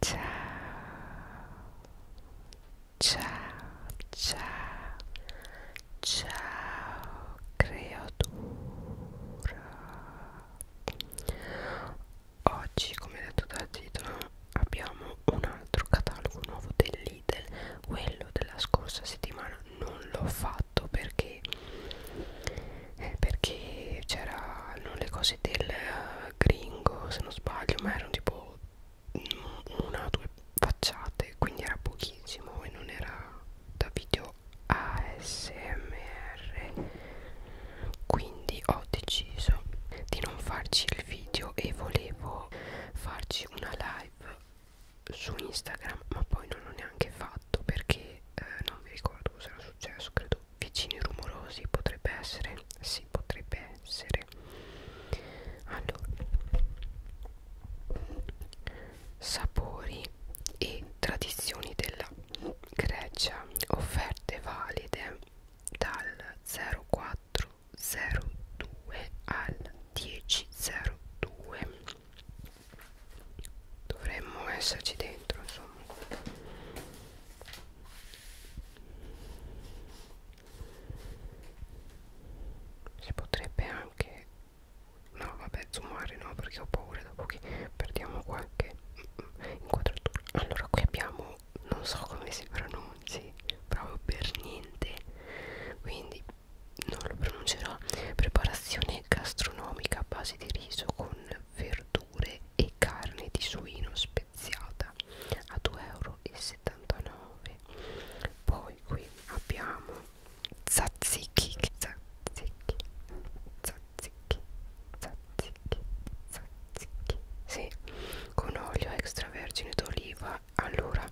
Ciao, ciao, ciao, ciao creatura. Oggi, come detto dal titolo, abbiamo un altro catalogo nuovo del Lidl. Quello della scorsa settimana non l'ho fatto perché eh, perché c'erano le cose del gringo se non sbaglio ma erano tipo una o due facciate quindi era pochissimo e non era da video ASMR quindi ho deciso di non farci il video e volevo farci una live su Instagram ma poi non l'ho neanche fatto perché eh, non mi ricordo cosa era successo credo vicini rumorosi potrebbe essere sì potrebbe essere allora sapori e tradizioni della Grecia offerte valide dal 0402 al 1002 dovremmo esserci dentro insomma si potrebbe anche no vabbè zoomare no perché ho paura dopo che perdiamo qualche inquadratura allora qui abbiamo non so come si pronunci proprio per niente quindi non lo pronuncerò preparazione gastronomica a base di riso con verdure e carne di suino spesso speziata a 2,79 euro poi qui abbiamo tzatziki tzatziki tzatziki tzatziki tzatziki sì, con olio extravergine d'oliva allora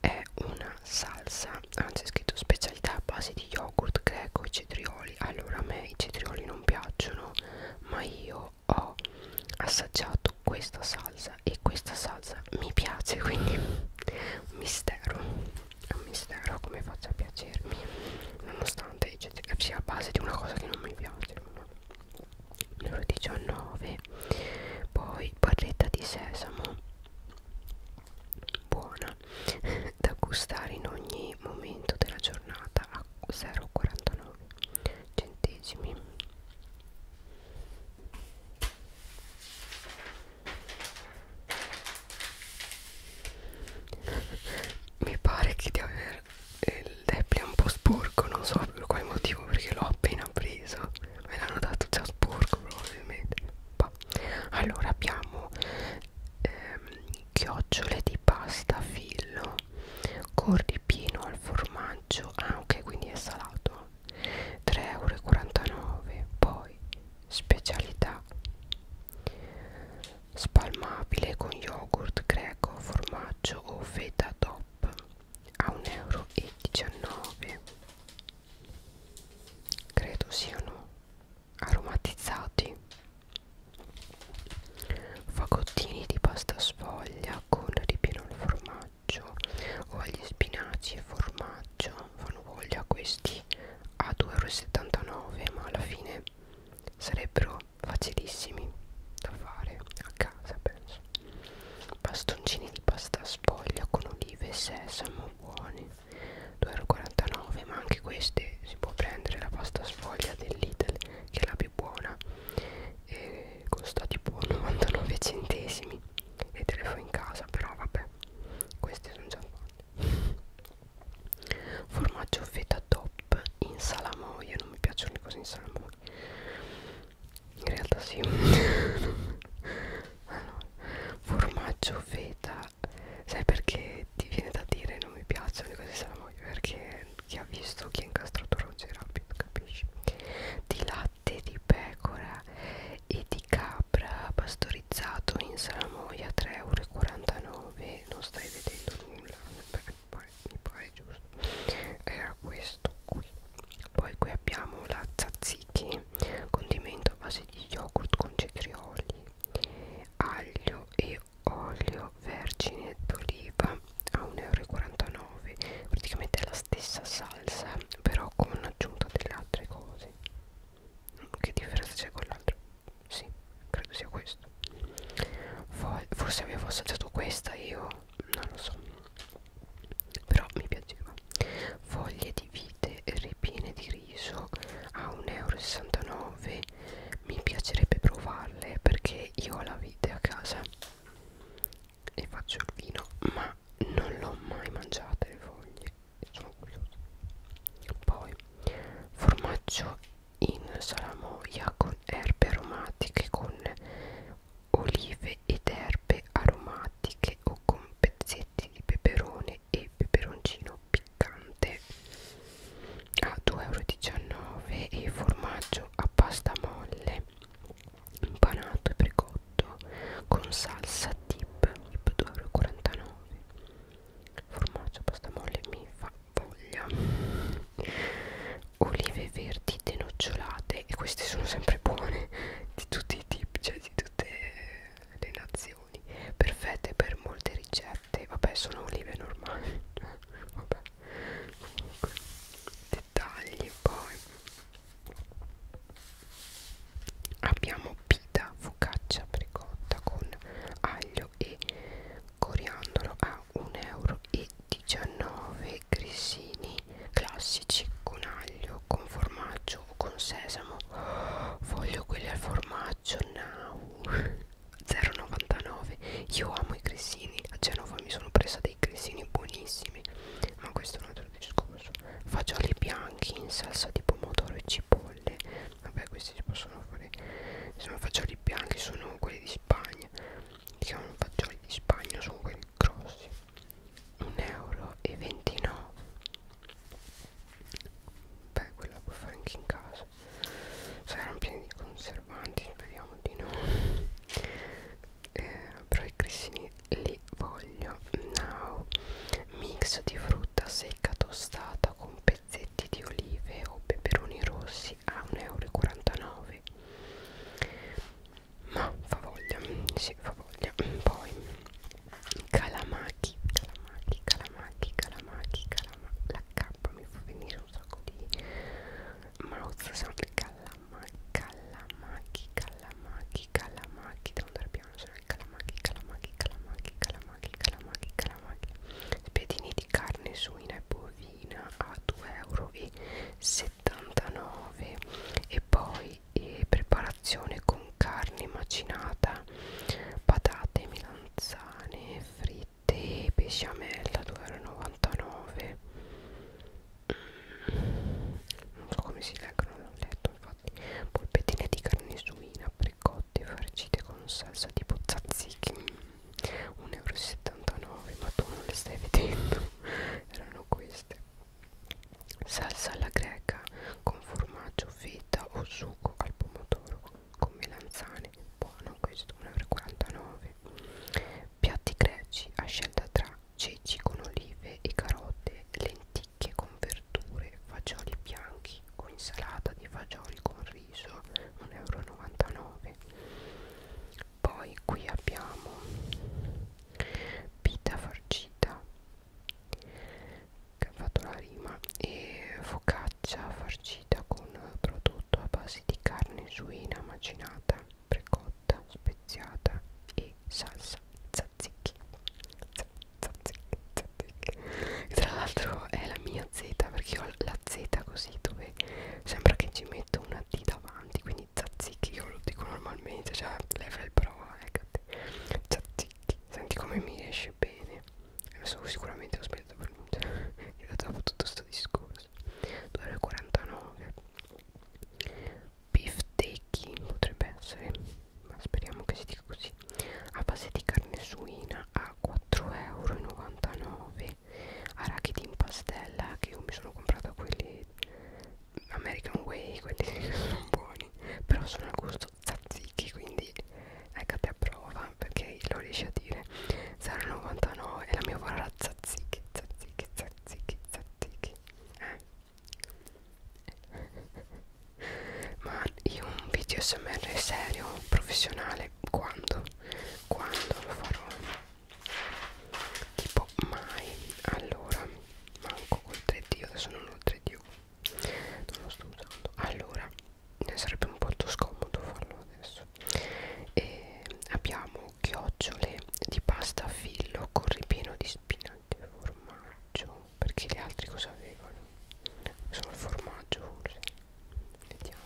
è una salsa anzi è scritto specialità a base di yogurt greco e cetrioli allora a me i cetrioli non piacciono ma io io ho assaggiato questa salsa e questa salsa mi piace quindi un mistero è un mistero come faccio a piacermi nonostante cioè, sia a base di una cosa che non mi piace euro 19 poi barretta di sesamo buona da gustare in ogni momento della giornata a 0,49 centesimi mi pare che di aver il deppia un po' sporco non so per quale motivo perché l'ho appena preso me l'hanno dato già sporco probabilmente bah. allora abbiamo ehm, chiocciole di pasta a filo con ripieno al formaggio anche quindi è salato 3,49 euro poi specialità spalmabile con yogurt greco formaggio o feta top a 1,19 euro credo siano aromatizzati fagottini di pasta sfoglia con ripieno al formaggio o agli spinaci e formaggio fanno voglia questi a 2,79 euro ma alla fine sarebbero facilissimi da fare a casa penso bastoncini di pasta sfoglia con olive e sesamo buoni 2,49 euro ma anche queste si può prendere la pasta sfoglia del Lidl che è la più è buona e costa tipo 99 centesimi e te le fai in casa però vabbè queste sono già fatte formaggio feta top in salamoia non mi piacciono le cose in salamoia in realtà sì allora, ah, formaggio feta sai perché ti viene da dire non mi piacciono le cose in salamoia perché eh, chi ha visto chi ha incastrato Roger Rabbit capisci di latte di pecora e di capra pastorizzato in salamoia 3,49 euro non stai vedendo nulla perché poi mi pare giusto era questo qui poi qui abbiamo la tzatziki condimento a base di yogurt con cetrioli aglio e e olio vergine d'oliva a 1,49 euro praticamente è la stessa salsa però con aggiunta delle altre cose che differenza c'è con l'altro? Sì, credo sia questo forse avevo assaggiato questa io non lo so però mi piaceva foglie di vite ripiene di riso a 1,69 euro mi piacerebbe provarle perché io ho la vite a casa e faccio il vino ma non l'ho mai mangiata le foglie sono curiosa poi formaggio in salamoia con erbe aromatiche con olive ed erbe aromatiche o con pezzetti di peperone e peperoncino piccante a 2,19 euro e formaggio a pasta molle impanato e precotto con salsa tip 2,49 euro formaggio a pasta molle mi fa voglia olive verdi denocciolate e queste sono sempre buone di tutti i tipi cioè di tutte le nazioni perfette per molte ricette vabbè sono olive normali vabbè comunque dettagli poi abbiamo pita focaccia precotta con aglio e coriandolo a 1,19 euro grissini classici con aglio con formaggio o con sesamo voglio quelli al formaggio now 0,99 io amo i grissini a Genova mi sono presa dei grissini buonissimi ma questo è un altro discorso fagioli bianchi in salsa di pomodoro e cipolle vabbè questi si possono fare sono fagioli bianchi sono quelli di Spagna si chiamano fagioli di Spagna sono quelli grossi 1,29 euro beh quella puoi fare anche in casa cioè, saranno pieni di conservanti speriamo di no eh, però i grissini li voglio now mix di frutta secca tostata con pezzetti di olive o peperoni rossi a 1,49 euro ma fa voglia sì fa voglia poi calamaki calamaki calamaki calamaki calamaki la K mi fa venire c'è un sacco di mouth sound calamacchi, calamacchi, calamacchi, calamacchi devo andare piano, sono i calamacchi, calamacchi, calamacchi, calamacchi, calamacchi, calamacchi spiedini di carne suina e bovina a 2,79 euro e poi e eh, preparazione con carne macinata patate milanzane fritte fette besciamella 2,99 non so come si leggono non ho letto infatti polpettine di carne suina precotte farcite con salsa tipo tzatziki 1,79 euro ma tu non le stai vedendo erano queste salsa alla greca con formaggio feta o sugo al pomodoro con melanzane grane buono questo 1,49 piatti greci a scelta tra ceci con olive e carote lenticchie con verdure fagioli bianchi o insalata di fagioli con riso 1,99 euro poi qui abbiamo pita farcita che ha fatto la rima e focaccia farcita con prodotti prodotto a base di carne suina macinata, precotta, speziata e salsa tzatziki. Tzatziki, tzatziki. E tra l'altro è la mia Z perché ho la Z così dove sembra che ci metto una T davanti, quindi tzatziki io lo dico normalmente, cioè level pro, eccate. Tzatziki. Senti come mi esce bene. Adesso sicuramente ho sbagliato la pronuncia che ho dopo tutto sto discorso cose 2,49 beef taking potrebbe essere ma speriamo che si dica così a base di carne suina a 4,99 euro arachidi in pastella che io mi sono comprata quelli American Way quelli sono buoni però sono al gusto tzatziki quindi ecco a prova perché lo riesci a dire 0,99 e la mia vorrà zazzichi zazzichi zazzichi zazzichi eh. ma io un video smr serio professionale quando quando lo farò tipo mai allora manco col 3D adesso non ho il 3D non lo sto usando allora ne sarebbe un po' troppo scomodo farlo adesso rosso cioè, e abbiamo chiocciole di pasta a filo con ripieno di spinaci e formaggio perché gli altri cosa avevano? solo il formaggio forse vediamo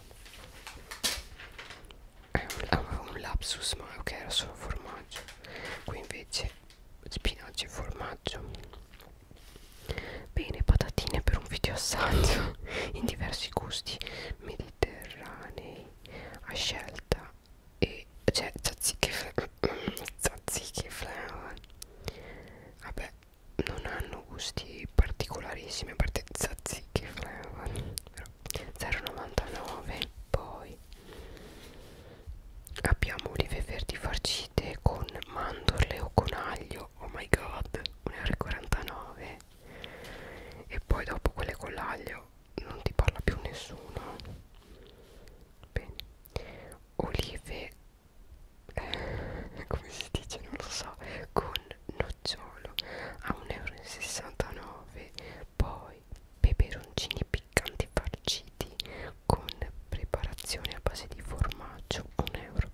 eh, avevo un lapsus ma ok era solo formaggio qui invece spinaci e formaggio bene patatine per un video assaggio in diversi gusti mediterranei a scelta e cioè tzatziki tzatziki flower vabbè non hanno gusti particolarissimi a parte tzatziki flower però 0,99 poi abbiamo olive verdi farcite con mandorle o con aglio oh my god 1,49 euro e poi dopo quelle con l'aglio non ti parla più nessuno bene olive eh, come si dice non lo so con nocciolo a 1,69 euro poi peperoncini piccanti farciti con preparazione a base di formaggio 1,99 euro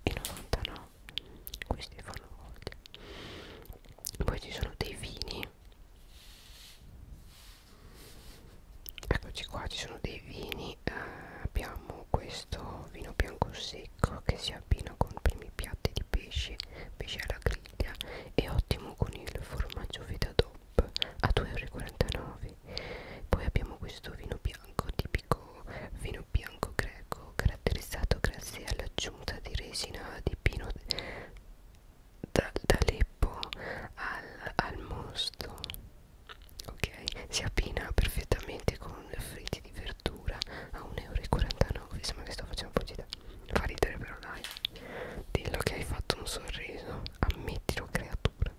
no questi fanno voglia poi ci sono dei vini eccoci qua ci sono dei vini eh, abbiamo questo vino bianco secco che si abbina con i primi piatti di pesce pesce alla griglia e ottimo con il formaggio feta DOP a 2,49 poi abbiamo questo vino bianco tipico vino vino bianco greco caratterizzato grazie all'aggiunta di resina di pino d'Aleppo al, al mosto ok si abbina perfettamente con fritti di verdura a 1,49€ sembra che sto facendo pubblicità fa ridere però dai dillo che hai fatto un sorriso ammettilo creatura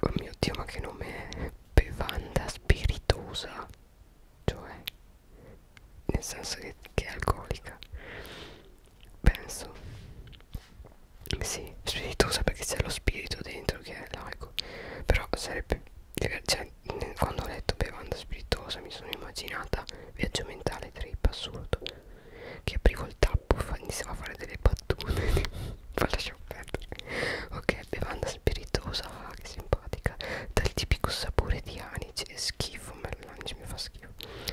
oh mio dio ma che nome è bevanda spiritosa cioè nel senso che, che è alcolica penso sì spiritosa perché c'è lo spirito dentro che è l'alcol però sarebbe cioè, cioè quando ho letto bevanda spiritosa mi sono immaginata viaggio mentale trip assurdo che aprivo il tappo iniziava a fare delle battute ma lasciamo perdere ok bevanda spiritosa che simpatica arnica dal tipico sapore di anice è schifo ma l'anice mi fa schifo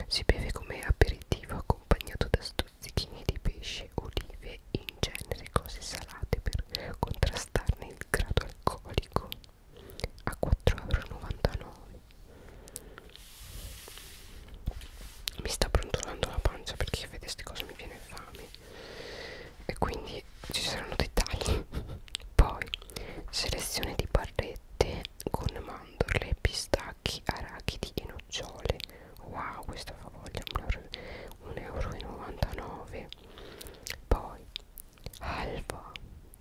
si beve come aperitivo accompagnato da stuzzichini di pesce olive in genere cose salate per contrastarne il grado alcolico a 4,99 euro mi sta brontolando la pancia perché vedete queste cose mi viene fame e quindi quindi ci saranno dettagli poi selezione di barrette con mandorle, pistacchi, arachidi e nocciole wow questa fa voglia 1,99 euro poi alba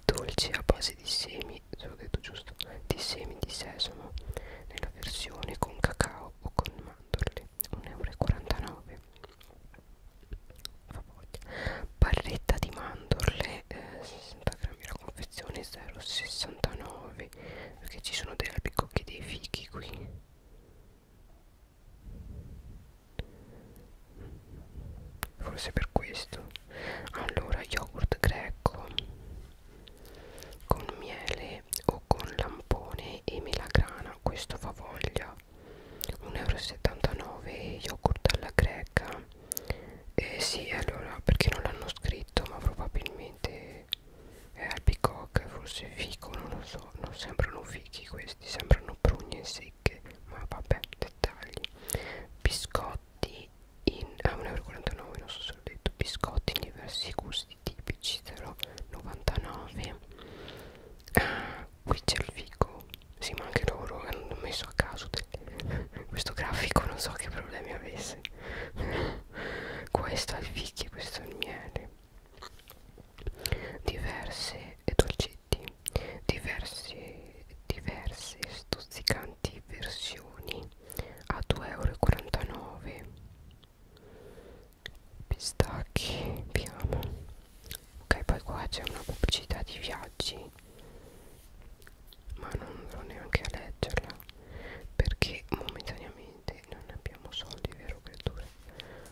dolce a base di semi se l'ho detto giusto di semi di sesamo nella versione con cacao o con mandorle 1,49 euro fa voglia barretta di mandorle eh, 60 grammi la confezione 0,69 perché ci sono dei albicocchi dei fichi qui forse per questo allora yogurt greco con miele o con lampone e melagrana questo fa voglia 1,79€ yogurt alla greca eh sì allora perché non l'hanno scritto ma probabilmente è albicoc forse fico non lo so non sembrano fichi questi sembrano prugne secche ma vabbè dettagli biscotti in a ah, 1,49 non so se l'ho detto biscotti in diversi gusti tipici 0,99 ah, qui c'è il fico sì ma anche loro hanno messo a caso delle... questo grafico non so che problemi avesse questo è il fichi e questo è il miele diverse dolcetti diverse diverse stuzzicanti versioni a 2,49 euro pistacchi piano ok poi qua c'è una pubblicità di viaggi ma non andrò neanche a leggerla perché momentaneamente non abbiamo soldi vero creature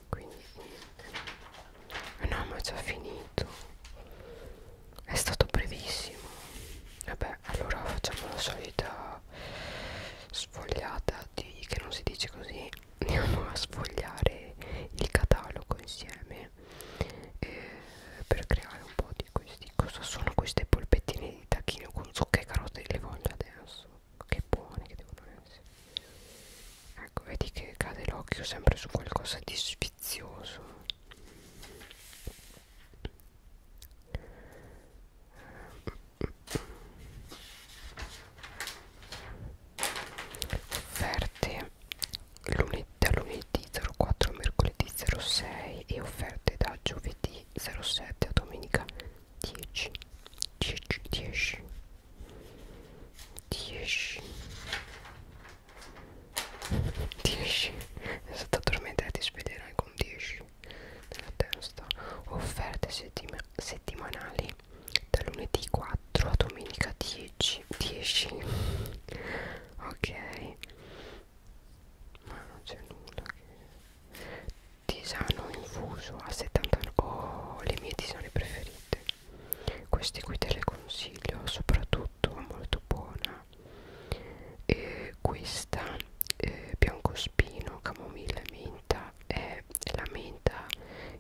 quindi niente eh, no ma è già finito è stato brevissimo vabbè allora facciamo la solita sfogliata di che non si dice così andiamo a sfogliare il catalogo insieme bene eh, per creare un po' di questi cosa sono queste polpettine di tacchino con zucca e carote le voglio adesso che buone che devono essere ecco vedi che cade l'occhio sempre su qualcosa di sfizioso offerte lunedì, da lunedì 04 a mercoledì 06 e offerte da giovedì 07 a domenica 10 10 10 10 10 è stata addormentata e sveglierai con 10 nella testa offerte settima settimanali da lunedì 4 4 a domenica 10 10 ok ma non c'è nulla che tisano infuso a 79 oh le mie tisane preferite queste qui te le consiglio soprattutto molto buona e questa eh, biancospino camomilla e menta è la menta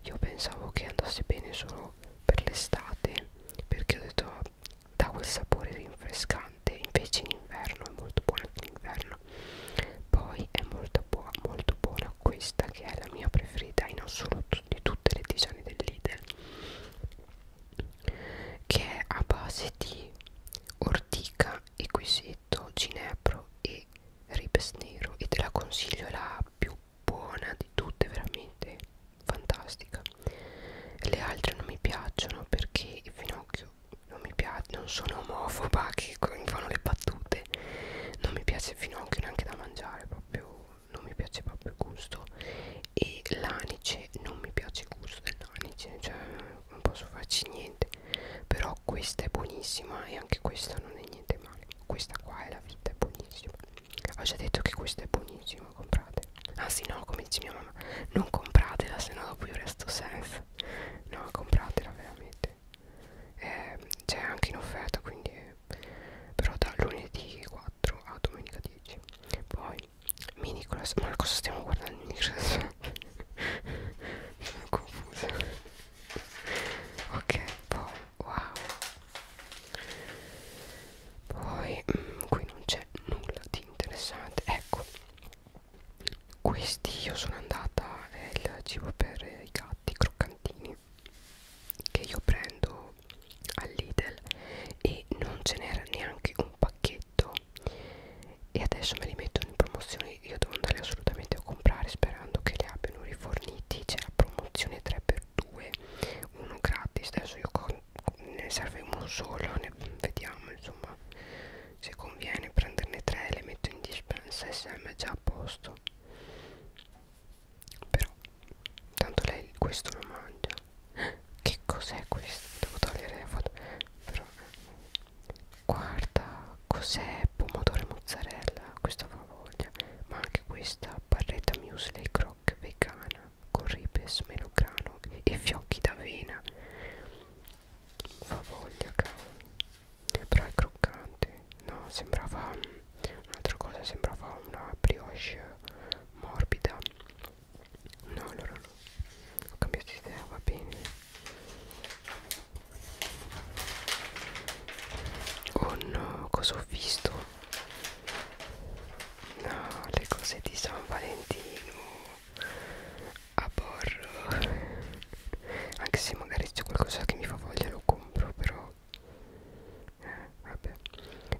io pensavo che andasse bene solo per l'estate perché ho detto dà quel sapore rinfrescante invece in inverno è molto buona anche in inverno poi è molto buona molto buona questa che è la mia preferita in assoluto di tutte le tisane del Lidl che è a base di ortica e ginepro e ribes nero e te la consiglio la più buona di tutte veramente fantastica le altre non mi piacciono perché il finocchio non mi piace non sono omofoba che fanno le battute non mi piace il finocchio neanche da mangiare proprio non mi piace proprio il gusto e l'anice non mi piace il gusto dell'anice cioè non posso farci niente però questa è buonissima e anche questa non è niente male questa qua è la vita è buonissima ho già detto che questo è buonissimo comprate ah sì no come dice mia mamma non compratela se no dopo io resto senza no compratela veramente eh, c'è anche in offerta quindi però da lunedì 4 a domenica 10 poi Minicross ma cosa stiamo guardando Minicross? sono confusa ok poi wow poi mh, mm, qui non c'è nulla di interessante ecco questi io sono andata è il cibo per i gatti croccantini che io prendo all'Idel e non ce n'era neanche un pacchetto e adesso me li mettono in promozione io devo andare assolutamente a comprare sperando che li abbiano riforniti c'è la promozione 3x1 per due uno gratis adesso io ne serve uno solo ne vediamo insomma se conviene prenderne tre le metto in dispensa sm è già a posto però tanto lei questo lo mangia che cos'è questo devo togliere la foto però guarda cos'è pomodoro e mozzarella questa fa voglia ma anche anche questa barretta muesli croc vegana con ribes, melograno e fiocchi d'avena fa voglia cavolo però è croccante no sembrava mm, un'altra cosa sembrava una brioche morbida no allora no ho cambiato idea va bene oh no cosa ho visto No, le cose di San Valentino a bordo anche se magari c'è qualcosa che mi fa voglia lo compro però eh, vabbè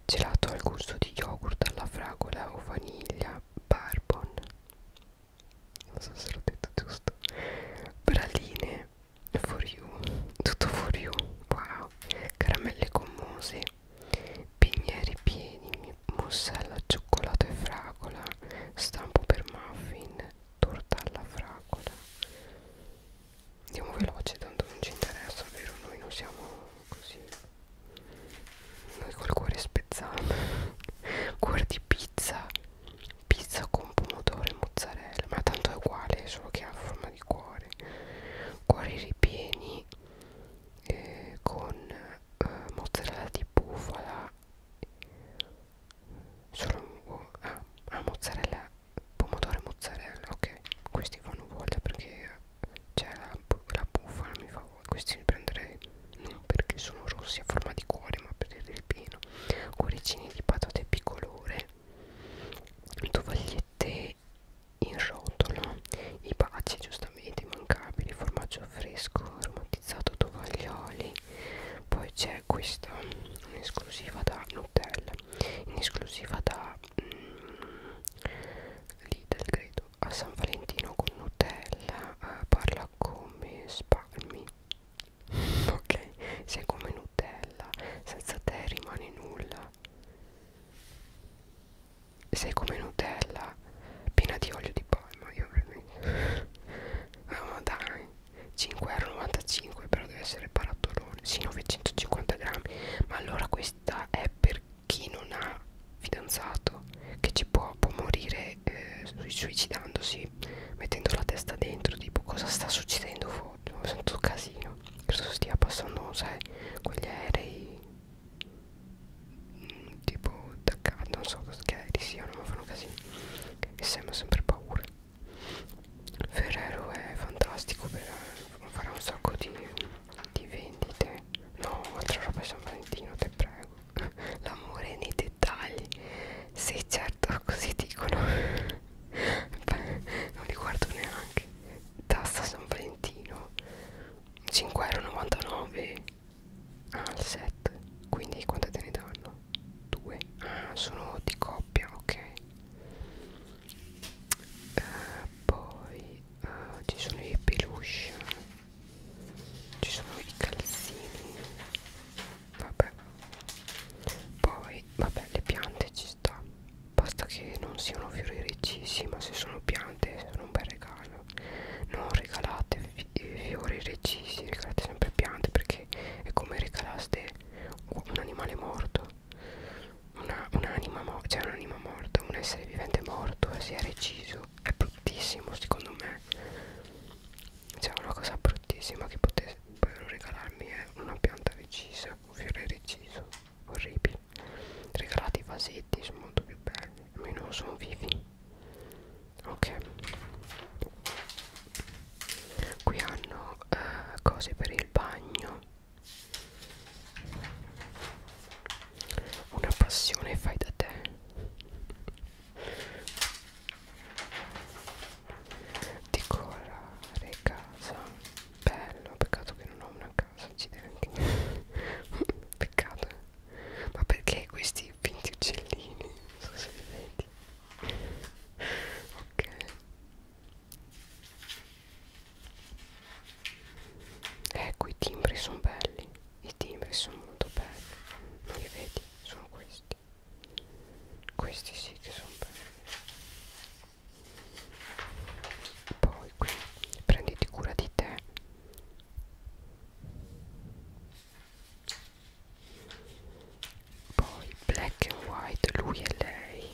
gelato al gusto di yogurt alla fragola o vaniglia barbon non so se l'ho detto giusto braline for you tutto for you wow caramelle con mose, pigneri pieni, mussella al cioccolato e fragola, stampo per muffin, torta alla fragola. Andiamo veloce, tanto non ci interessa, vero? Noi non siamo così. Noi col cuore spezzato. Cuore di pizza. Pizza con pomodoro e mozzarella. Ma tanto è uguale, solo che ha forma di cuore cuori ripieni eh, con eh, mozzarella di bufala solo oh, ah, ah, mozzarella pomodoro e mozzarella ok questi fanno voglia perché c'è la, la bufala mi fa voglia questi li prenderei non perché sono rossi a forma di cuore ma per il ripieno cuoricini di patate bicolore tovagliette in rotolo i baci giustamente immancabili formaggio fresco aromatizzato tovaglioli poi c'è questa in esclusiva da Nutella in esclusiva da mm, Lidl credo a San Valentino con Nutella eh, parla come spalmi ok se come Nutella senza te rimane nulla sei come Nutella piena di olio di palma io veramente oh, ma dai 5,95€ però deve essere barattolone sì 950 grammi ma allora questa è per chi non ha fidanzato che ci può, può morire eh, suicidandosi mettendo la testa dentro tipo cosa sta succedendo fuori oggi mi sento casino credo stia passando sai quegli aerei mh, mm, tipo da casa non so che aerei siano ma fanno casino e sembra sempre paura Ferrero è fantastico per eh, fare un sacco di, di vendite no altra roba è San Valentino te prego l'amore nei dettagli sì certo così dicono Beh, non li guardo neanche tassa San Valentino 5,99€ al set quindi quante te ne danno? 2 ah sono di coppia ok uh, poi uh, ci sono i peluche ci sono i calzini vabbè poi vabbè le piante ci ci sta basta che non siano fiori reccisi ma se sono piante sono un bel regalo non regalate fi fiori reccisi regalate sempre piante perché è come regalaste un animale morto un'anima un morta cioè un'anima morta un essere vivente morto eh, si è reciso è bruttissimo secondo me c'è cioè, una cosa bruttissima che potessero regalarmi è eh, una pianta recisa un fiore reciso orribile regalate i vasetti sono molto più belli almeno sono vivi ok qui hanno eh, cose per il bagno una passione fai da te decorare casa Bello, peccato che non ho una casa, accidenti. peccato. Eh. Ma perché questi finti uccellini? Non so se li vedi. ok. Ecco, i timbri sono belli. I timbri sono molto belli. Non li vedi? Sono questi. Questi sì che sono belli poi qui prenditi cura di te poi black and white lui e lei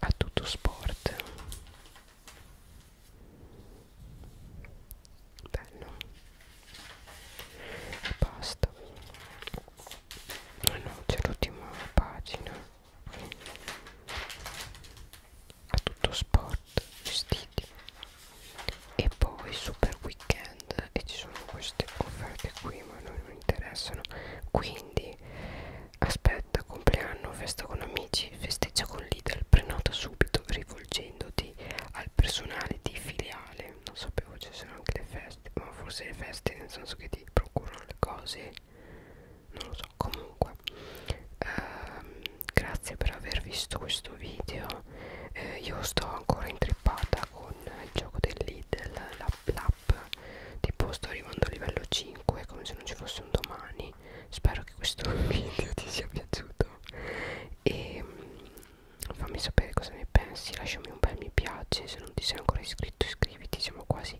a tutto sport bello e basta ah no c'è l'ultima pagina a tutto sport vestiti e poi super weekend e ci sono queste offerte qui ma non mi interessano quindi aspetta compleanno festa con amici festeggia con Lidl prenota subito rivolgendoti al personale di filiale non sapevo ci sono anche le feste ma forse le feste nel senso che ti procurano le cose non lo so comunque ehm, grazie per aver visto questo video eh, io sto ancora intrippata con il gioco del Lidl l'app l'app tipo sto arrivando a livello 5 come se non ci fosse un domani spero che questo video ti sia piaciuto e ehm, fammi sapere cosa ne pensi lasciami un bel mi piace se non ti sei ancora iscritto iscriviti siamo quasi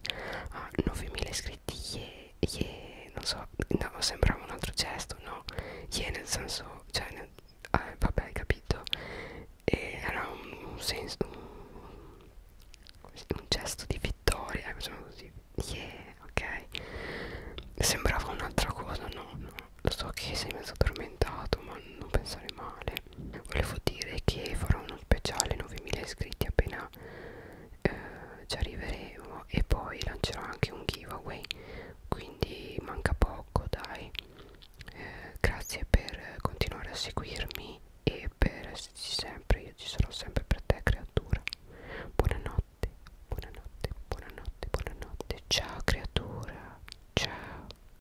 a 9000 iscritti yeah, yeah. non so no, sembrava un altro gesto no yeah nel senso cioè nel, eh, vabbè hai capito e era un, un senso un, un gesto di vittoria facciamo eh, così yeah ok sembrava un'altra cosa no no lo so che sei mezzo addormentato ma non pensare male volevo dire che farò uno speciale 9000 iscritti appena eh, ci arriveremo e poi lancerò anche un giveaway quindi manca poco dai eh, grazie per continuare a seguirmi e per esserci sempre io ci sarò sempre per te creatura buonanotte buonanotte buonanotte buonanotte ciao creatura ciao